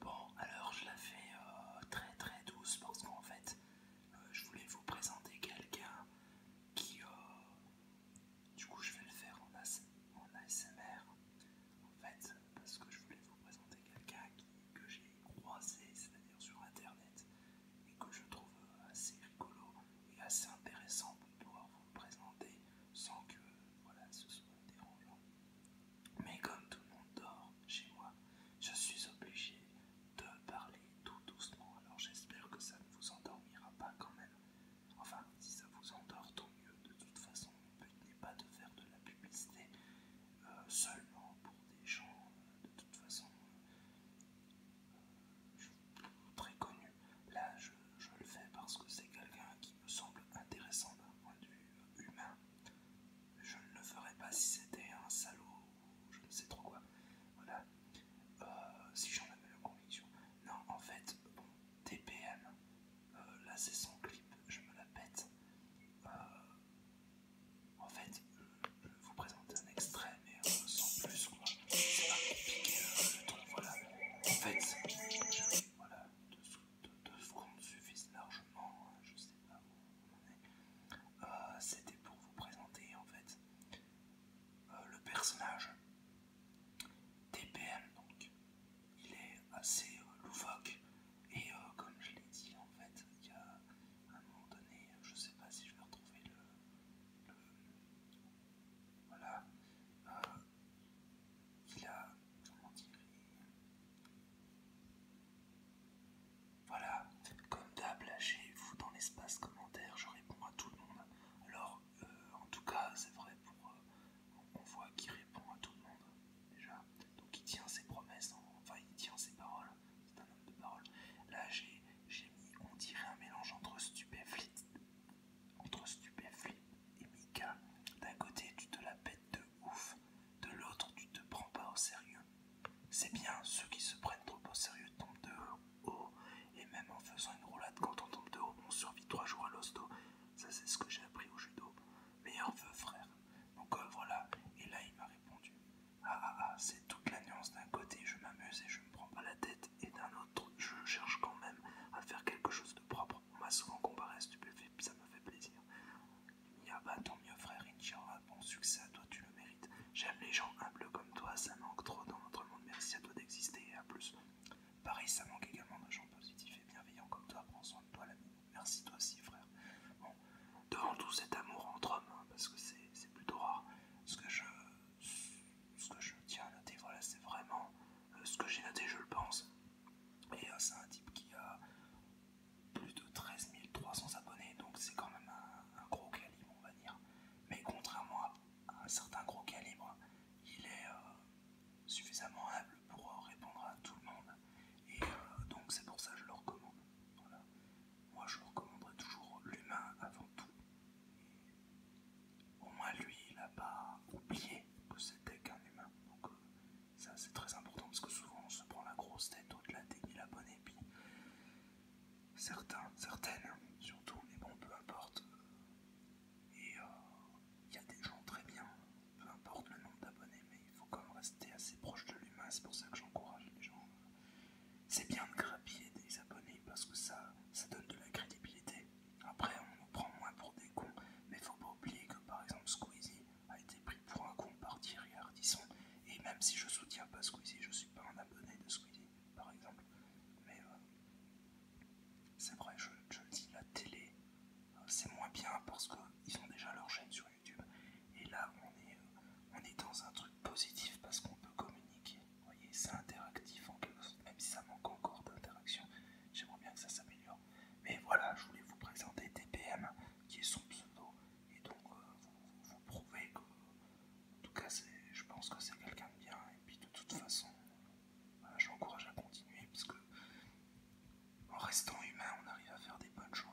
Bon, alors je la fais euh, très très douce parce qu'en fait, euh, je voulais vous présenter quelqu'un qui, euh, du coup, je vais le faire en, ASMR, en fait, parce que je voulais vous présenter quelqu'un que j'ai croisé, c'est-à-dire sur Internet, et que je trouve assez rigolo et assez intéressant pour pouvoir vous le présenter sans que, voilà, ce soit dérangeant. Mais comme tout le monde dort chez moi, je suis obligé de parler tout doucement, alors j'espère que ça ne vous endormira pas quand même. Enfin, si ça vous endort, tant mieux. De toute façon, ne but n'est pas de faire de la publicité euh, seulement pour des gens, euh, de toute façon, euh, très connus. Là, je le fais parce que c'est quelqu'un qui me semble intéressant d'un point de vue humain. Je ne le ferais pas si c'était un salaud ou je ne sais trop quoi. Voilà. Euh, si j'en avais la conviction. Non, en fait, bon, TPM, euh, là c'est son clip, je me la pète. Euh, en fait, je vais vous présenter un extrait, mais sans plus quoi. C'est pas compliqué voilà. En fait, voilà, deux, secondes suffisent largement, hein, je sais pas où on est. Euh, c'était pour vous présenter en fait euh, le personnage d'E.P.M. donc il est assez euh, loufoque et comme je l'ai dit en fait, il y a un moment donné, je sais pas si je vais retrouver le. voilà, il a, comment voilà, comme d'hab, j'ai vous dans l'espace commentaire, je réponds à tout le monde. Alors, euh, en tout cas, c'est vrai, pour, euh, on voit qu'il répond à tout le monde, déjà. Donc il tient ses promesses, hein. enfin il tient ses paroles, c'est un homme de parole. Là, j'ai mis, on dirait un mélange entre stupéflit, entre Stupéflip et Mika. D'un côté, tu te la pètes de ouf, de l'autre, tu te prends pas au sérieux. C'est bien, ceux qui se prennent trop au sérieux tombent de haut, et même en faisant une roulade quand on tombe de haut, on survit trois jours à l'hosto. Ça, c'est ce que j'ai appris au judo. Meilleur vœu, frère. Donc euh, voilà, et là, il m'a répondu. Ah ah ah, c'est toute la nuance d'un côté, je m'amuse et je me prends pas la tête, et d'un autre je cherche quand même à faire quelque chose de propre. On m'a souvent comparé à Stupéfait, ça me fait plaisir. Il a bah, tant mieux, frère un Bon succès à toi, tu le mérites. J'aime les gens humbles comme toi, ça manque trop dans notre monde. Merci à toi d'exister et à plus. Pareil, ça manque également de gens positifs et bienveillants comme toi. Prends soin de toi, l'ami. Merci toi aussi, frère. Bon, devant tout cet amour entre hommes, hein, parce que c'est plutôt rare, ce que je ce que je tiens à noter, voilà, c'est vraiment euh, ce que j'ai noté, je le pense. Et euh, c'est un type qui a plus de 13 300 abonnés, donc c'est quand même un, gros calibre, on va dire. Mais contrairement à, un certain gros calibre, il est euh, suffisamment humble pour répondre à tout le monde. Et donc c'est pour ça que je le recommande. Moi je recommanderais toujours l'humain avant tout. Au moins lui, il n'a pas oublié que c'était qu'un humain. Donc euh, ça c'est très important parce que souvent on se prend la grosse tête au-delà des mille abonnés. Puis certains, certaines surtout, mais bon peu importe. Et euh, il y a des gens très bien, peu importe le nombre d'abonnés, mais il faut quand même rester assez proche de l'humain. C'est pour ça que j'encourage les gens euh, c'est bien de grappiller des abonnés parce que ça, donne de la crédibilité. Après, on nous prend moins pour des cons, mais faut pas oublier que par exemple Squeezie a été pris pour un con par Thierry Et même si je soutiens pas Squeezie, je suis pas un abonné de Squeezie, par exemple. Mais euh, c'est vrai, je, le dis, la télé, euh, c'est moins bien parce qu'ils ont déjà leur chaîne sur YouTube. Et là, on est, euh, on est dans un truc positif parce qu'on peut communiquer vous voyez, c'est interactif en quelque sorte, même si ça manque encore d'interaction. J'aimerais bien que ça s'améliore. Mais voilà, je voulais vous présenter TPM, qui est son pseudo. Et donc, euh, vous, prouver prouvez que, en tout cas, je pense que c'est quelqu'un de bien. Et puis, de toute façon, j'encourage je l'encourage à continuer, parce que, en restant humain, on arrive à faire des bonnes choses.